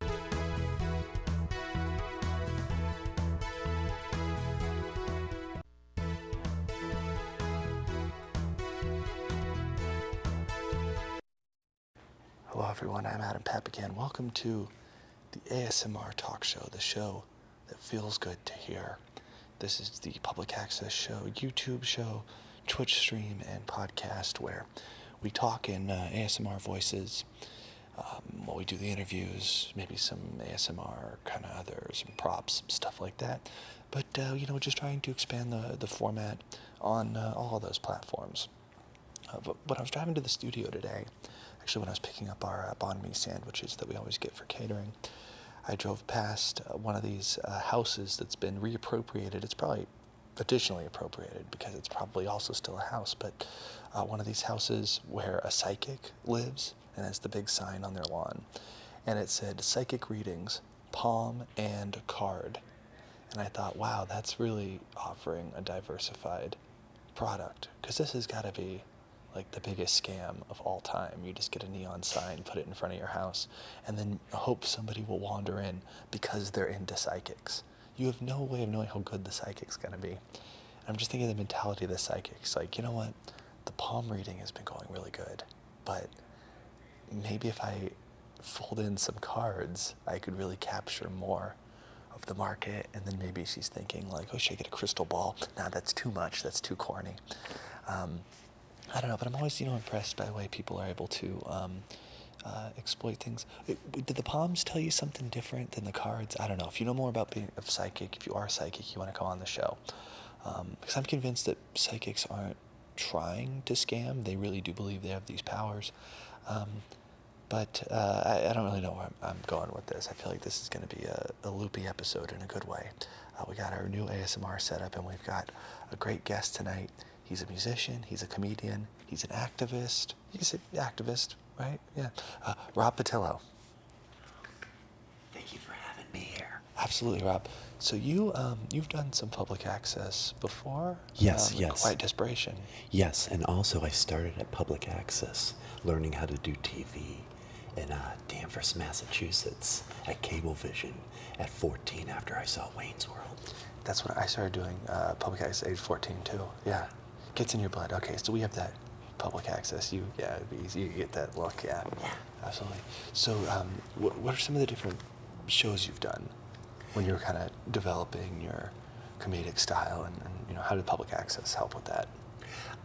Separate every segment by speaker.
Speaker 1: Hello, everyone. I'm Adam Papagan. Welcome to the ASMR Talk Show, the show that feels good to hear. This is the public access show, YouTube show, Twitch stream, and podcast where we talk in uh, ASMR voices um, while we do the interviews, maybe some ASMR kind of others, some props, some stuff like that. But uh, you know, just trying to expand the the format on uh, all those platforms. Uh, but when I was driving to the studio today, actually when I was picking up our uh, sandwiches that we always get for catering, I drove past uh, one of these houses that's been reappropriated. It's probably additionally appropriated because it's probably also still a house, but uh, one of these houses where a psychic lives and has the big sign on their lawn. And it said psychic readings, palm and card. And I thought, wow, that's really offering a diversified product because this has got to be like the biggest scam of all time. You just get a neon sign, put it in front of your house, and then hope somebody will wander in because they're into psychics you have no way of knowing how good the psychic's going to be. I'm just thinking of the mentality of the psychics. Like, you know what? The palm reading has been going really good, but maybe if I fold in some cards, I could really capture more of the market. And then maybe she's thinking, like, oh, should I get a crystal ball? Nah, that's too much. That's too corny. Um, I don't know, but I'm always, you know, impressed by the way people are able to um, uh, exploit things. did the palms tell you something different than the cards? I don't know. If you know more about being a psychic, if you are a psychic, you want to come on the show. because um, I'm convinced that psychics aren't trying to scam. They really do believe they have these powers. Um, but uh, I, don't really know where I'm, going with this. I feel like this is going to be a, a, loopy episode in a good way. Uh, we got our new ASMR setup, and we've got a great guest tonight. He's a musician, he's a comedian, he's an activist. He's an activist right? Yeah. Uh, Rob Patillo. Thank you for having me here. Absolutely, Rob. So you um, you've done some public access before.
Speaker 2: Yes, um, yes. Quiet desperation. Yes, and also I started at public access, learning how to do TV, in uh, Danvers, Massachusetts, at Cablevision, at 14 after I saw Wayne's World. That's what I started doing.
Speaker 1: Uh, public access age 14 too. Yeah. Gets in your blood. Okay, so we have that public access. You, yeah, it'd be easy. You get that look. Yeah, yeah. absolutely. So, um, what, what are some of the different shows you've done when you're kind of developing your comedic style,
Speaker 2: and, you know, how did public access help with that?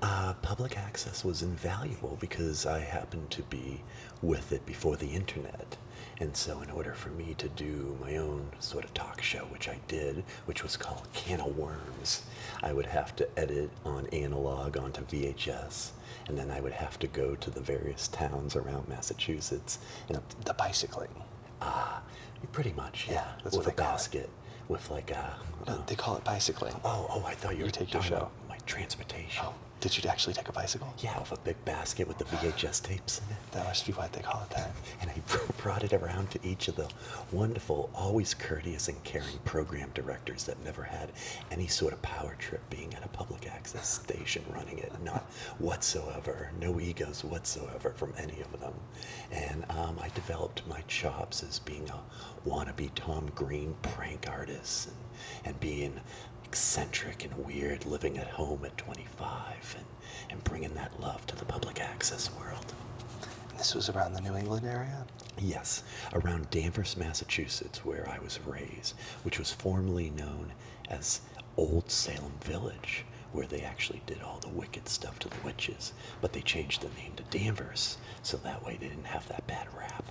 Speaker 2: Uh, public access was invaluable because I happened to be with it before the internet. And so, in order for me to do my own sort of talk show, which I did, which was called Can of Worms. I would have to edit on analog onto VHS, and then I would have to go to the various towns around Massachusetts. And the bicycling. Ah, pretty much. Yeah, with a basket. With like a. No, uh, uh, they call it bicycling. Oh, oh! I thought you, were taking your show. About my transportation. Oh, did you actually take a bicycle? Yeah, with a big basket with the VHS tapes in it. That must be what they call it that. and I brought it around to each of the wonderful, always courteous and caring program directors that never had any sort of power trip being at a public access station running it. Not whatsoever. No egos whatsoever from any of them. And um, I developed my chops as being a wannabe Tom Green prank artist and, being eccentric and weird living at home at 25 and bringing that love to the public access world. this was around the New England area? Yes, around Danvers, Massachusetts, where I was raised, which was formerly known as Old Salem Village, where they actually did all the wicked stuff to the witches, but they changed the name to Danvers, so that way they didn't have that bad rap.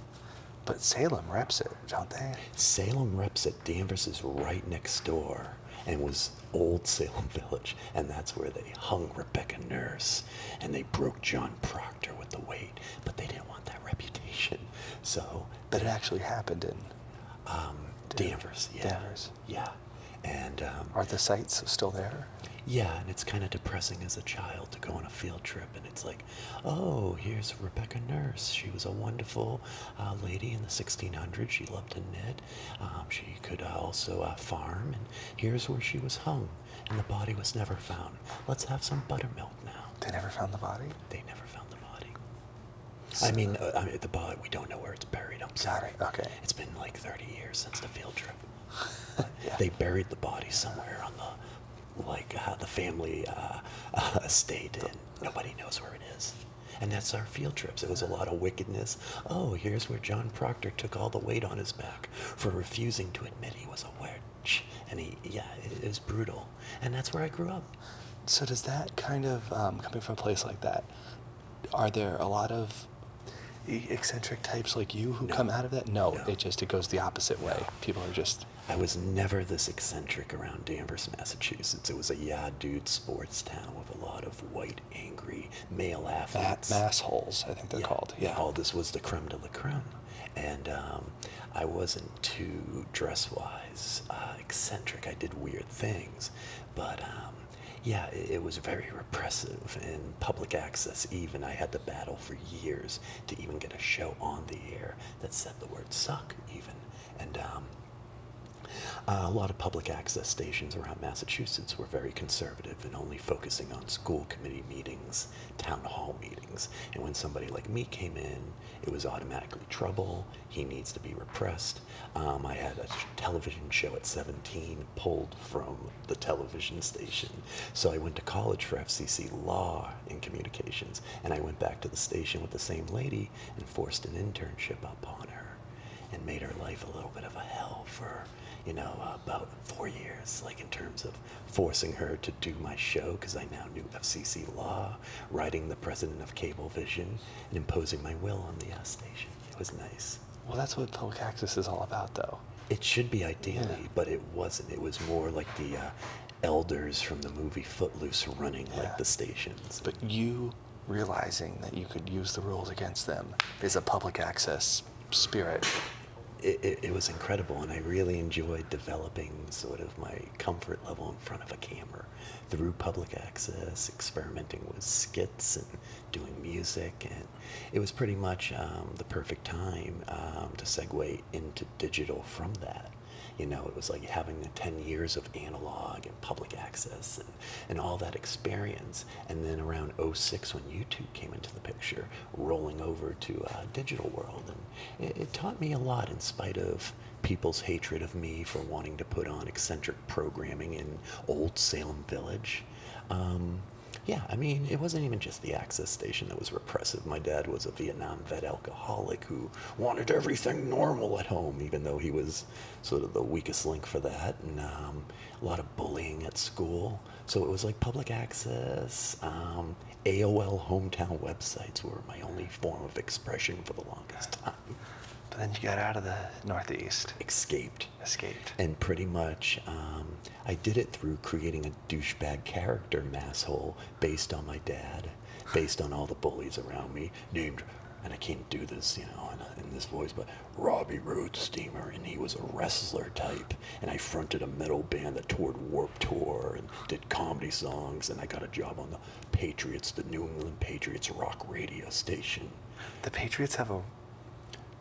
Speaker 2: But Salem reps it, don't they? Salem reps it. Danvers is right next door and was old Salem village, and that's where they hung Rebecca Nurse and they broke John Proctor with the weight, but they didn't want that reputation. So, but it actually happened in um, Danvers, yeah, Danvers, yeah. And um, are the sites still there? Yeah, and it's kind of depressing as a child to go on a field trip, and it's like, oh, here's Rebecca Nurse. She was a wonderful uh, lady in the 1600s. She loved to knit, um, she could uh, also uh, farm, and here's where she was hung, and the body was never found. Let's have some buttermilk now. They never found the body? They never found the body. I, mean, uh, the body, we don't know where it's buried. I'm sorry. It. Okay. It's been like 30 years since the field trip. They buried the body somewhere on the like uh, the family estate, and nobody knows where it is. And that's our field trips. It was a lot of wickedness. Oh, here's where John Proctor took all the weight on his back for refusing to admit he was a witch. And he, yeah, it, was brutal. And that's where I grew up. So, does that kind of, um, coming from a place like that, are
Speaker 1: there a lot of eccentric types like you who come out of that? No, it just, it goes the
Speaker 2: opposite way. People are just. I was never this eccentric around Danvers, Massachusetts. It was a yeah, dude sports town with a lot of white angry, male athletes. Massholes, I think they're called. Yeah. All oh, this was the creme de la creme. And um, I wasn't too dress wise, uh, eccentric. I did weird things. But um, yeah, it, was very repressive in public access, even. I had to battle for years to even get a show on the air that said the word suck, even. And um, uh, a lot of public access stations around Massachusetts were very conservative and only focusing on school committee meetings, town hall meetings. And when somebody like me came in, it was automatically trouble. He needs to be repressed. Um, I had a television show at 17 pulled from the television station. So I went to college for FCC law and communications, and I went back to the station with the same lady and forced an internship upon her and made her life a little bit of a hell for you know about four years like in terms of forcing her to do my show because i now knew fcc law writing the president of cablevision and imposing my will on the station it was nice
Speaker 1: well that's what public
Speaker 2: access is all about though it should be ideally but it wasn't it was more like the uh, elders from the movie footloose running like the stations but you realizing that you could use the rules against them is a public access spirit. It, was incredible, and I really enjoyed developing sort of my comfort level in front of a camera through public access, experimenting with skits and doing music, and it was pretty much um, the perfect time um, to segue into digital from that. You know, it was like having the 10 years of analog and public access and, all that experience. And then around 06 when YouTube came into the picture, rolling over to uh, digital world. And it, taught me a lot in spite of people's hatred of me for wanting to put on eccentric programming in old Salem Village. Um, yeah, I mean, it wasn't even just the access station that was repressive. My dad was a Vietnam vet alcoholic who wanted everything normal at home, even though he was sort of the weakest link for that. Um, a lot of bullying at school. So it was like public access. Um, AOL hometown websites were my only form of expression for the longest time. But then you got out of the Northeast. Escaped. Escaped. And pretty much, um, I did it through creating a douchebag character, masshole, based on my dad, based on all the bullies around me, named, and I can't do this, you know, uh, in this voice, but Robbie Road Steamer, and he was a wrestler type. And I fronted a metal band that toured Warp Tour and did comedy songs. And I got a job on the Patriots, the New England Patriots rock radio station.
Speaker 1: The Patriots have a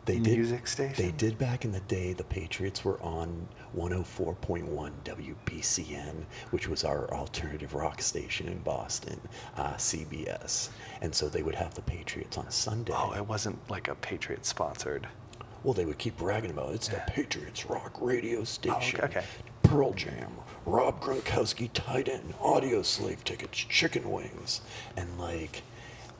Speaker 2: they music did, station. They did back in the day. The Patriots were on 104.1 WBCN, which was our alternative rock station in Boston, uh, CBS and so they would have the Patriots on Sunday. Oh, it wasn't like a patriots sponsored. Well, they would keep bragging about it. It's the Patriots rock radio oh, station. okay, Pearl Jam, Rob Gronkowski tight end, audio slave tickets, chicken wings, and like.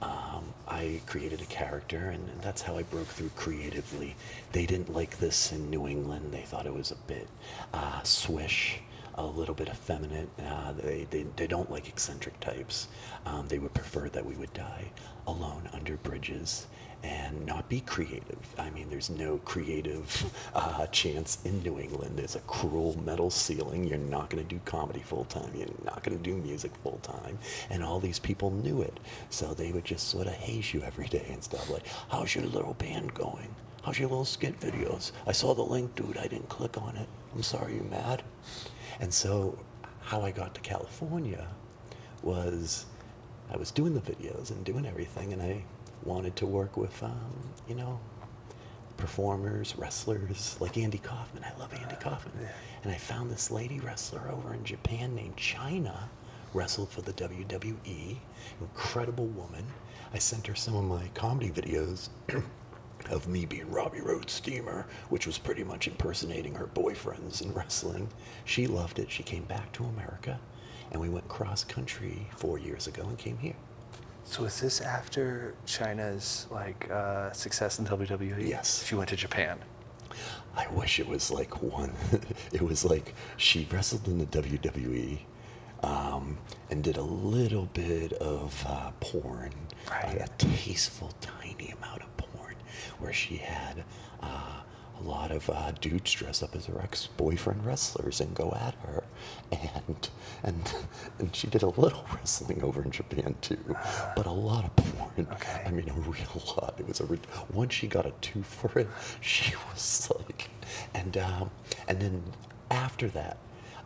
Speaker 2: Um, I created a character, and, that's how I broke through creatively. They didn't like this in New England. They thought it was a bit uh, swish, a little bit of bit uh, they, they, don't like eccentric types. Um, they would prefer that we would die alone under bridges and not be creative. I mean, there's no creative uh, chance in New England. There's a cruel metal ceiling. You're not going to do comedy full time. You're not going to do music full time. And all these people knew it. So they would just sort of haze you every day and stuff like, how's your little band going? How's your little skit videos? I saw the link, dude. I didn't click on it. I'm sorry you're mad. And so, how I got to California was I was doing the videos and doing everything, and I wanted to work with, um, you know, performers, wrestlers, like Andy Kaufman. I love Andy Kaufman. And I found this lady wrestler over in Japan named China, wrestled for the WWE, incredible woman. I sent her some of my comedy videos of me being Robbie Road Steamer, which was pretty much impersonating her boyfriends and wrestling. She loved it. She came back to America, and we went cross country four years ago and came here. So is this after
Speaker 1: China's like uh, success in WWE? Yes. She went to Japan.
Speaker 2: I wish it was like one. it was like she wrestled in the WWE um, and did a little bit of uh, porn a tasteful, tiny amount of porn where she had uh, a lot of uh, dudes dress up as her ex-boyfriend wrestlers and go at her, and and and she did a little wrestling over in Japan too, but a lot of porn. I mean, a real lot. It was a re once she got a two for it, she was like, and um, and then after that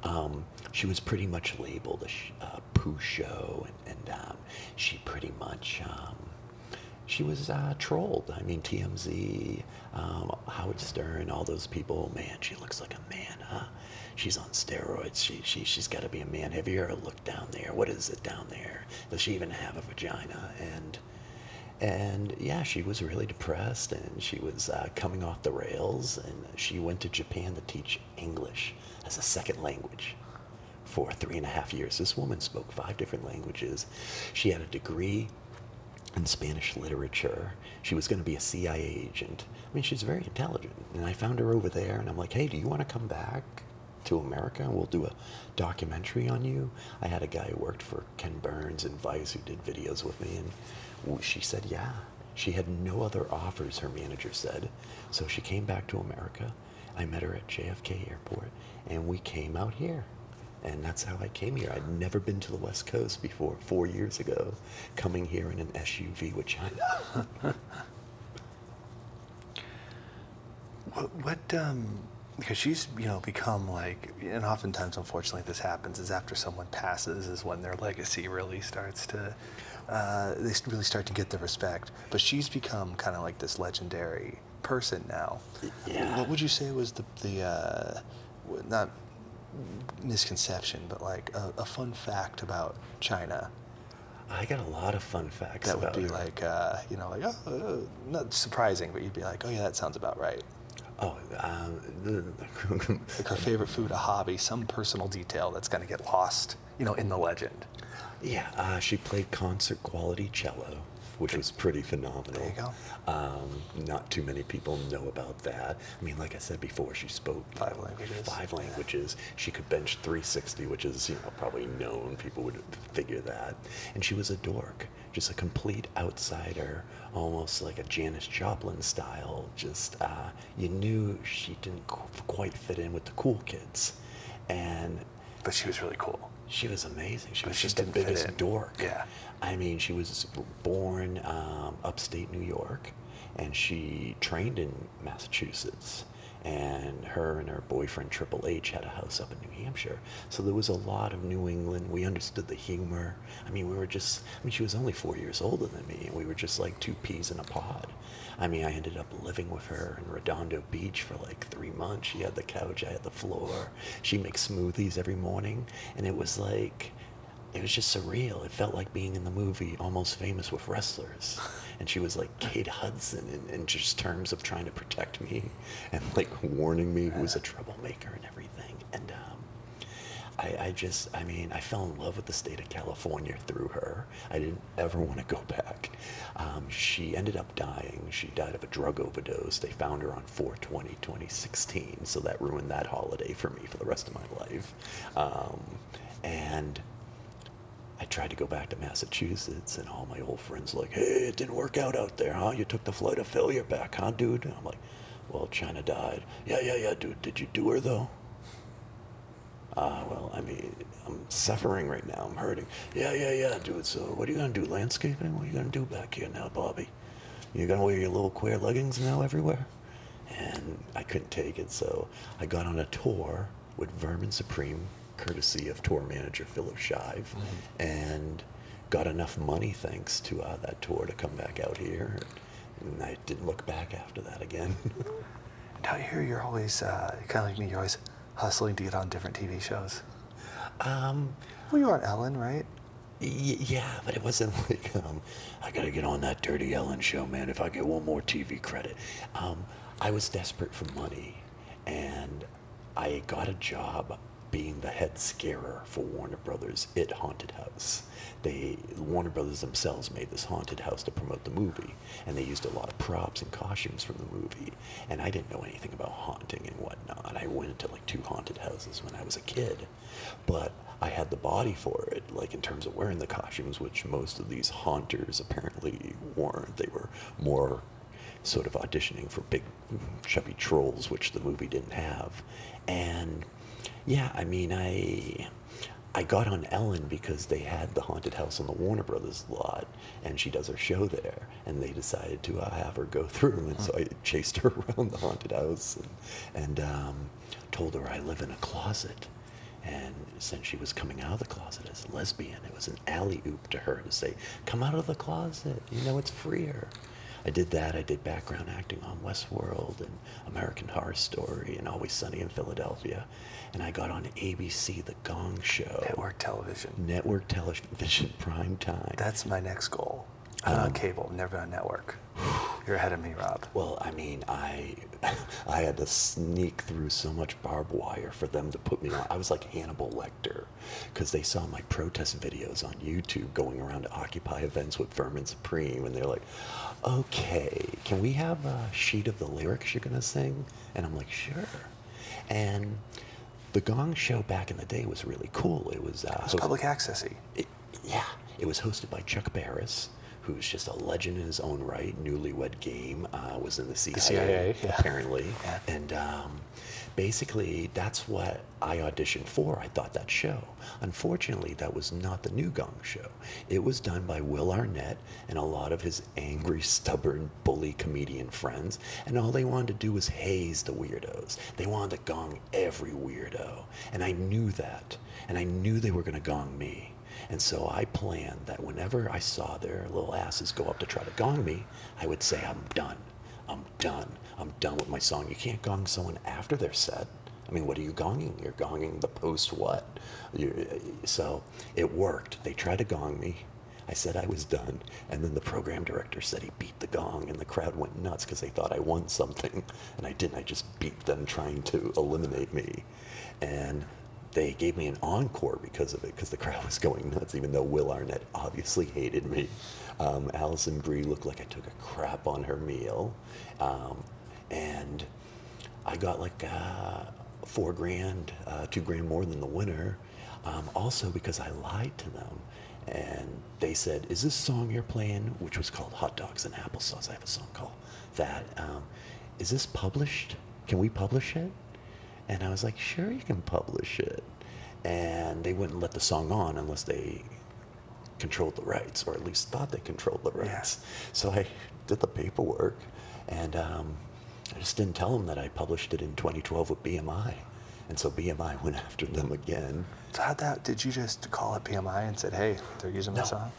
Speaker 2: um, she was pretty much labeled a sh uh, poo show, and, um, she pretty much um, she was uh, trolled. I mean, TMZ, Howard Stern, all those people. Man, she looks like a man, She's on steroids. She she has got to be a man. Have you ever looked down there? What is it down there? Does she even have a vagina? And and yeah, she was really depressed, and she was uh, coming off the rails. And she went to Japan to teach English as a second language for three and a half years. This woman spoke five different languages. She had a degree in Spanish literature. She was going to be a CIA agent. I mean, she's very intelligent. And I found her over there, and I'm like, hey, do you want to come back? to America we'll do a documentary on you. I had a guy who worked for Ken Burns and Vice who did videos with me, and she said, Yeah, she had no other offers, her manager said. So she came back to America. I met her at JFK Airport, and we came out here. And that's how I came here. I'd never been to the West Coast before, four years ago, coming here in an SUV with China.
Speaker 1: what, because um, she's, you know, become like, and oftentimes, unfortunately, this happens is after someone passes, is when their legacy really starts to uh, they really start to get the respect. But she's become kind of like this legendary person now. What would you say was the the uh, not misconception, but like a, fun fact about China? I got a lot of fun facts. That would be like uh, you know like oh, not surprising, but you'd be like oh yeah that sounds about right. Oh, um, favorite food, a hobby, some personal detail that's going to get lost you know, in the
Speaker 2: legend? Yeah, uh, she played concert quality cello, which was pretty phenomenal. There you go. Um, not too many people know about that. I mean, like I said before, she spoke five languages. Five languages. She could bench 360, which is you know probably known. People would figure that. And she was a dork, just a complete outsider, almost like a Janis Joplin style. Just uh, you knew she didn't quite fit in with the cool kids, and but she was really cool. She was amazing. She but was she just the biggest dork. Yeah, I mean, she was born um, upstate New York, and she trained in Massachusetts. And her and her boyfriend Triple H had a house up in New Hampshire, so there was a lot of New England. We understood the humor. I mean, we were just—I mean, she was only four years older than me, and we were just like two peas in a pod. I mean, I ended up living with her in Redondo Beach for like three months. She had the couch, I had the floor. She makes smoothies every morning, and it was like, it was just surreal. It felt like being in the movie Almost Famous with wrestlers, and she was like Kate Hudson in, just terms of trying to protect me and like warning me who was a troublemaker and everything. And um, I just, I mean, I fell in love with the state of California through her. I didn't ever want to go back. Um, she ended up dying. She died of a drug overdose. They found her on 420 2016, so that ruined that holiday for me for the rest of my life. Um, and I tried to go back to Massachusetts, and all my old friends like, "Hey, it didn't work out out there, huh? You took the flight of failure back, huh, dude?" I'm like, "Well, China died. Yeah, yeah, yeah, dude. Did you do her though?" Uh, well, I mean, I'm suffering right now. I'm hurting. Yeah, yeah, yeah, dude. So, what are you going to do? Landscaping? What are you going to do back here now, Bobby? You're going to wear your little queer leggings now everywhere? And I couldn't take it, so I got on a tour with Vermin Supreme, courtesy of tour manager Philip Shive, mm-hmm. and got enough money, thanks to uh, that tour, to come back out here. And I didn't look back after that again.
Speaker 1: Now here you're always uh, kind of like me. You're always hustling to get on different TV shows.
Speaker 2: Um, well, you were on Ellen, right? yeah, but it wasn't like um, I gotta get on that Dirty Ellen show, man. If I get one more TV credit, um, I was desperate for money, and I got a job being the head scarer for Warner Brothers It Haunted House. They Warner Brothers themselves made this haunted house to promote the movie and they used a lot of props and costumes from the movie. And I didn't know anything about haunting and whatnot. I went to like two haunted houses when I was a kid, but I had the body for it, like in terms of wearing the costumes, which most of these haunters apparently weren't. They were more sort of auditioning for big, chubby trolls, which the movie didn't have. And yeah, I mean, I. I got on Ellen because they had the haunted house on the Warner Brothers lot, and she does her show there. And they decided to uh, have her go through, and so I chased her around the haunted house and, um, told her I live in a closet. And since she was coming out of the closet as a lesbian, it was an alley oop to her to say, "Come out of the closet, you know it's freer." I did that. I did background acting on Westworld and American Horror Story and Always Sunny in Philadelphia. And I got on ABC, The Gong Show. Network television. Network television prime time. That's my next goal. on uh, um, cable, never on network. You're ahead of me, Rob. Well, I mean, I I had to sneak through so much barbed wire for them to put me on. I was like Hannibal Lecter because they saw my protest videos on YouTube going around to Occupy events with Vermin Supreme, and they're like, Okay, can we have a sheet of the lyrics you're going to sing? And I'm like, sure. And the Gong Show back in the day was really cool. It was, uh, public accessy. yeah, it was hosted by Chuck Barris, who's just a legend in his own right. Newlywed Game uh, was in the CIA, apparently, and um, basically that's what I auditioned for. I thought that show. Unfortunately, that was not the new Gong Show. It was done by Will Arnett and a lot of his angry, stubborn, bully comedian friends, and all they wanted to do was haze the weirdos. They wanted to gong every weirdo. And I knew that. And I knew they were going to gong me. And so I planned that whenever I saw their little asses go up to try to gong me, I would say, I'm done. I'm done. I'm done with my song. You can't gong someone after they're set. I mean, what are you gonging? You're gonging the post what? you so it worked. They tried to gong me. I said I was done. And then the program director said he beat the gong, and the crowd went nuts because they thought I won something. And I didn't. I just beat them trying to eliminate me. And they gave me an encore because of it, because the crowd was going nuts, even though Will Arnett obviously hated me. Um, Allison Brie looked like I took a crap on her meal. Um, and I got like uh, four grand, uh, two grand more than the winner. Um, also because I lied to them, and they said, "Is this song you're playing?" Which was called "Hot Dogs and Applesauce." I have a song called that. Um, Is this published? Can we publish it? And I was like, "Sure, you can publish it." And they wouldn't let the song on unless they controlled the rights, or at least thought they controlled the rights. So I did the paperwork, and um, I just didn't tell them that I published it in 2012 with BMI. And so BMI went after them again. how did you just call up BMI
Speaker 1: and said, "Hey, they're using my song"?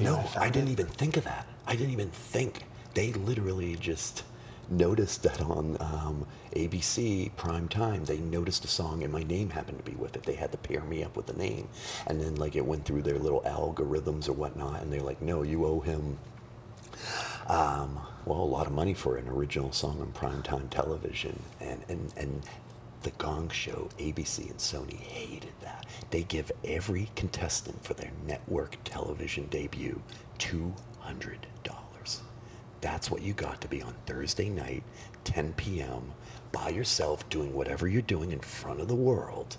Speaker 1: no, I didn't even think of that.
Speaker 2: I didn't even think. They literally just noticed that on um, ABC prime time. They noticed a song, and my name happened to be with it. They had to pair me up with the name, and then like it went through their little algorithms or whatnot, and they're like, no, you owe him. Um, well, a lot of money for an original song on primetime television, and and and the Gong Show, ABC, and Sony hated that. They give every contestant for their network television debut two hundred dollars. That's what you got to be on Thursday night, 10 p.m. by yourself, doing whatever you're doing in front of the world.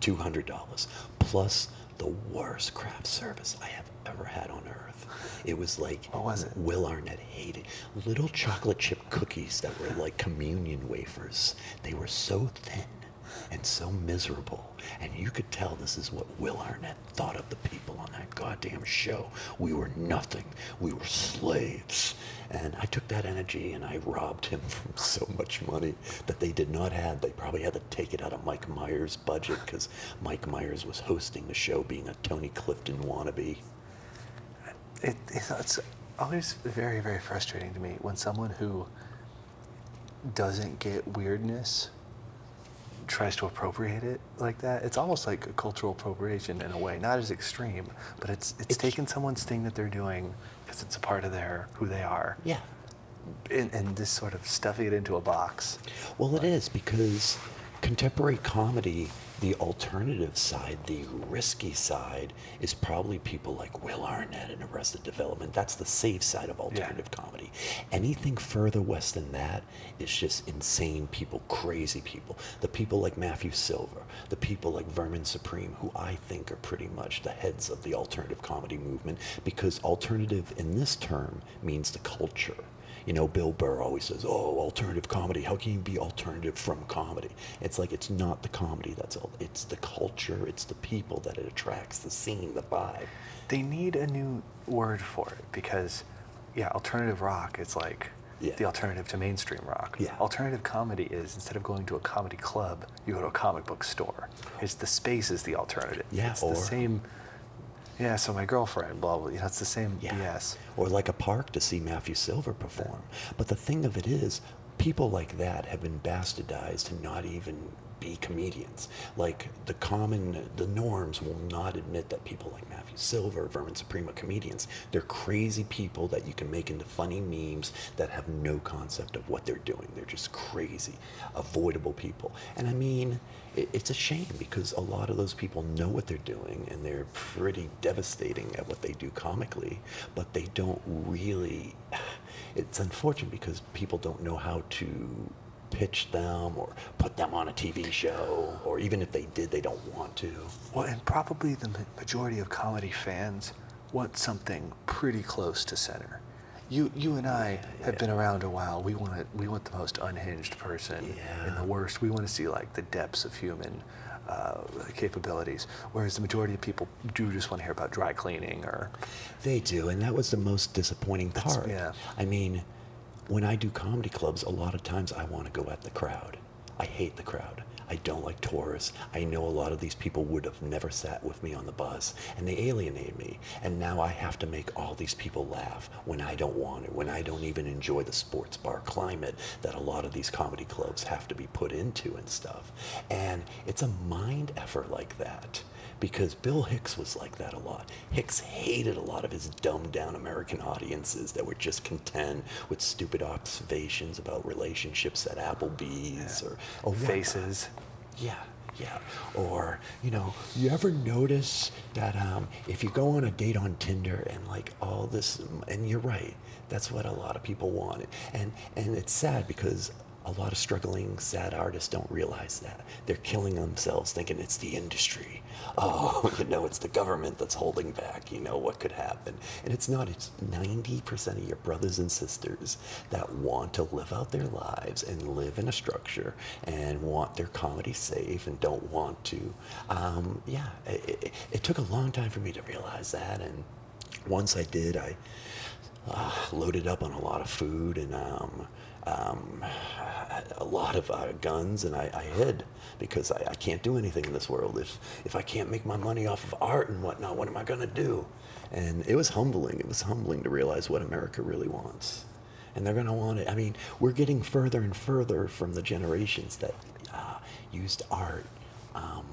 Speaker 2: $200 plus the worst craft service I have ever had on earth. It was like what was it? Will Arnett hated little chocolate chip cookies that were like communion wafers. They were so thin and so miserable. And you could tell this is what Will Arnett thought of the people on that goddamn show. We were nothing. We were slaves. And I took that energy and I robbed him of so much money that they did not have. They probably had to take it out of Mike Myers' budget because Mike Myers was hosting the show, being a Tony Clifton wannabe.
Speaker 1: it's always very, very frustrating to me when someone who doesn't get weirdness tries to appropriate it like that. It's almost like a cultural appropriation in a way, not as extreme, but it's it's, it's taking someone's thing that they're doing because it's a part of their who they are.
Speaker 2: Yeah and, just sort of stuffing it into a box. Well, it is because contemporary comedy, the alternative side, the risky side, is probably people like Will Arnett and Arrested Development. That's the safe side of alternative comedy. Anything further west than that is just insane people, crazy people. The people like Matthew Silver, the people like Vermin Supreme, who I think are pretty much the heads of of the alternative comedy movement because alternative in this term means the culture. You know, Bill Burr always says, "Oh, alternative comedy. How can you be alternative from comedy?" It's like it's not the comedy that's all. It's the culture. It's the people that it attracts. The scene, the vibe. They need a new word for it because, yeah, alternative rock.
Speaker 1: It's like the alternative to mainstream rock. Alternative comedy is instead of going to a comedy club, you go to a comic book store. It's the space is the alternative. Yeah, it's or, the same.
Speaker 2: Yeah, so my girlfriend, blah blah. You know, it's the same yeah. BS. Or like a park to see Matthew Silver perform. But the thing of it is, people like that have been bastardized to not even be comedians. Like the common, the norms will not admit that people like Matthew Silver, Vermin Suprema comedians, they're crazy people that you can make into funny memes that have no concept of what they're doing. They're just crazy avoidable people. And I mean, it's a shame because a lot of those people know what they're doing and they're pretty devastating at what they do comically, but they don't really. It's unfortunate because people don't know how to pitch them or put them on a TV show, or even if they did, they don't want to.
Speaker 1: Well, and probably the majority of comedy fans want something pretty close to center. You, you and I have been around a while. We want to, we want the most unhinged person yeah. the worst. We want to see like the depths of human uh, capabilities, whereas the majority of people do just want to hear about dry cleaning or.
Speaker 2: They do, and that was the most disappointing part. yeah. I mean, when I do comedy clubs, a lot of times I want to go at the crowd. I hate the crowd. I don't like tourists. I know a lot of these people would have never sat with me on the bus, and they alienate me. And now I have to make all these people laugh when I don't want to, when I don't even enjoy the sports bar climate that a lot of these comedy clubs have to be put into and stuff. And it's a mind effort like that because Bill Hicks was like that a lot. Hicks hated a lot of his dumbed down American audiences that were just content with stupid observations about relationships at Applebee's or oh, faces. Yeah, yeah. Or, you know, you ever notice that um, if you go on a date on Tinder and like all this, and you're right, that's what a lot of people want. And, and it's sad because a lot of struggling, sad artists don't realize that. They're killing themselves thinking it's the industry. Oh, you know, it's the government that's holding back. You know, what could happen? And it's not. It's 90% of your brothers and sisters that want to live out their lives and live in a structure and want their comedy safe and don't want to. Um, yeah, it, took a long time for me to realize that. And once I did, I uh, loaded up on a lot of food and um, um, a lot of uh, guns, and I, hid because I, I, can't do anything in this world. If if I can't make my money off of art and whatnot, what am I gonna do? And it was humbling. It was humbling to realize what America really wants. And they're going to want it. I mean, we're getting further and further from the generations that uh, used art um,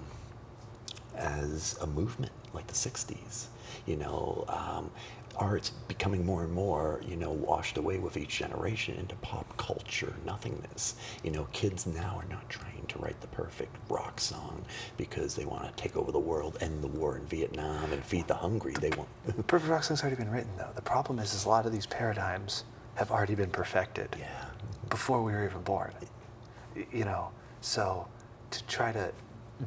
Speaker 2: as a movement, like the 60s. You know, um, art's becoming more and more, you know, washed away with each generation into pop culture nothingness. You know, kids now are not trying to write the perfect rock song because they want to take over the world, end the war in Vietnam, and feed the hungry. They want.
Speaker 1: the Perfect rock Wrestling's already been written, though. The problem is, is a lot of these paradigms have already been perfected before we were even born. You know, so to try to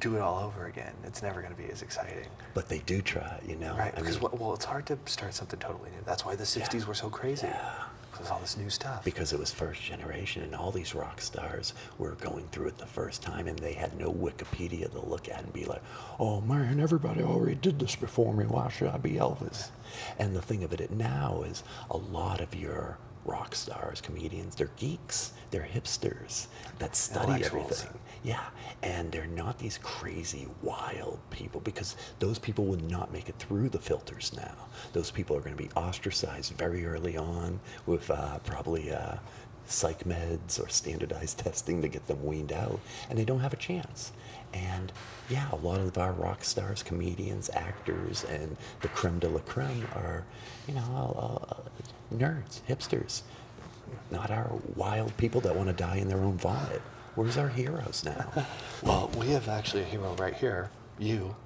Speaker 1: do it all over again, it's never going to be as exciting.
Speaker 2: But they do try, you know. Right, because
Speaker 1: well, it's hard to start something totally new. That's why the '60s were so crazy. Yeah.
Speaker 2: Because all this new stuff. Because it was first generation, and all these rock stars we're going through it the first time and they had no Wikipedia to look at and be like, oh man, everybody already did this before me. Why should I be Elvis? And the thing of it now is a lot of your rock stars, comedians, they're geeks, they're hipsters that study everything. Yeah, and they're not these crazy, wild people because those people would not make it through the filters now. Those people are going to be ostracized very early on with uh, probably uh, psych meds or standardized testing to get them weaned out, and they don't have a chance. And yeah, a lot of our rock stars, comedians, actors, and the creme de la creme are, you know, uh, uh, nerds, hipsters, not our wild people that want to die in their own vomit. Where's our heroes now?
Speaker 1: well, we have actually a hero right here, you,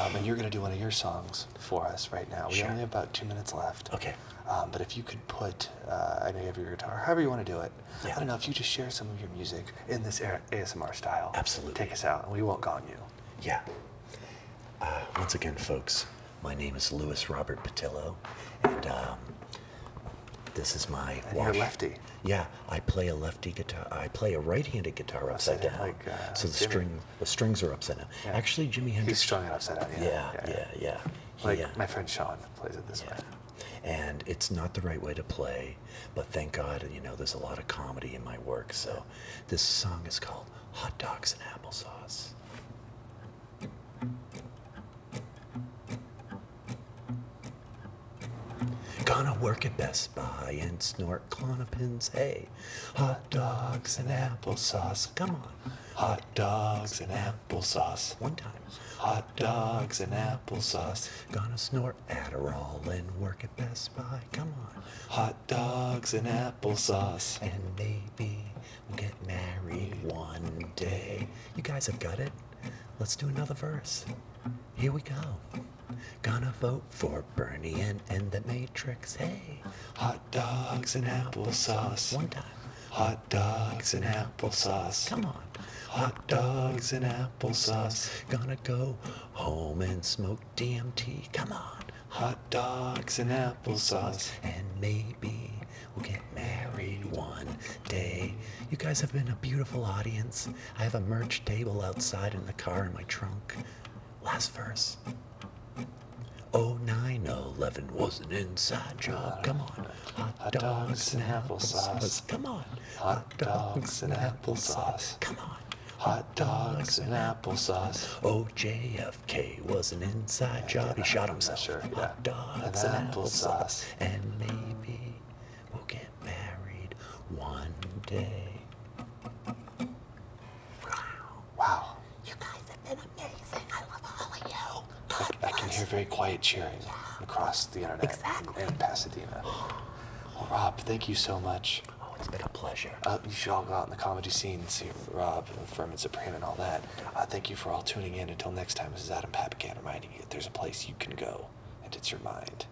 Speaker 1: um, and you're going to do one of your songs for us right now. We only have about two minutes left. Okay. Um, but if you could put, uh, I know you have your guitar, however you want to do it. I don't know if you just share some of your music in this ASMR style. Absolutely. Take us out, we won't gong you.
Speaker 2: Yeah. Uh, once again, folks, my name is Louis Robert Patillo, and um, this is my. And you're lefty. Yeah, I play a lefty guitar. I play a right-handed guitar upside down. Uh, so the Jimmy. string the strings are upside down. Actually, Jimmy Hendrix. He's strung it upside down. Yeah, yeah, yeah. Uh, my friend Sean plays it this way. And it's not the right way to play, but thank God, and you know, there's a lot of comedy in my work. So this song is called Hot Dogs and Applesauce. Gonna work at Best Buy and snort clonopins, hey hot dogs and applesauce. Come on. Hot
Speaker 1: dogs and applesauce. One time. Hot dogs and applesauce. Gonna
Speaker 2: snort Adderall and work at Best Buy. Come on. Hot dogs and applesauce. And maybe we'll get married one day. You guys have got it. Let's do another verse. Here we go. Gonna vote for Bernie and, and the Matrix. Hey. Hot Hot dogs and applesauce. One time. Hot dogs and applesauce. Come on. Hot dogs and applesauce. Gonna go home and smoke DMT. Come on. Hot dogs and applesauce. And maybe we'll get married one day. You guys have been a beautiful audience. I have a merch table outside in the car in my trunk. Last verse. Oh, 9 09011 was an inside job. Come on. Hot dogs and applesauce. Come on. Hot dogs and applesauce. Come on. Hot dogs and applesauce. Oh, JFK was an inside job. He shot himself. Sure, Hot dogs and, and applesauce. And maybe we'll get married one day. Wow. Wow. You guys have been amazing. I love all of you. I, can hear very quiet
Speaker 1: cheering across the internet exactly. and, Pasadena. Rob, thank you so much. Oh, it's been a pleasure. Uh, you should all go out in the comedy scene and see Rob and Furman Supreme and all that. Uh, thank you for all tuning in. Until next time, this is Adam Papagan reminding you that there's a place you can go, and it's your mind.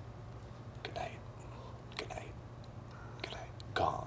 Speaker 1: Good night. Good night. Good night. Gone.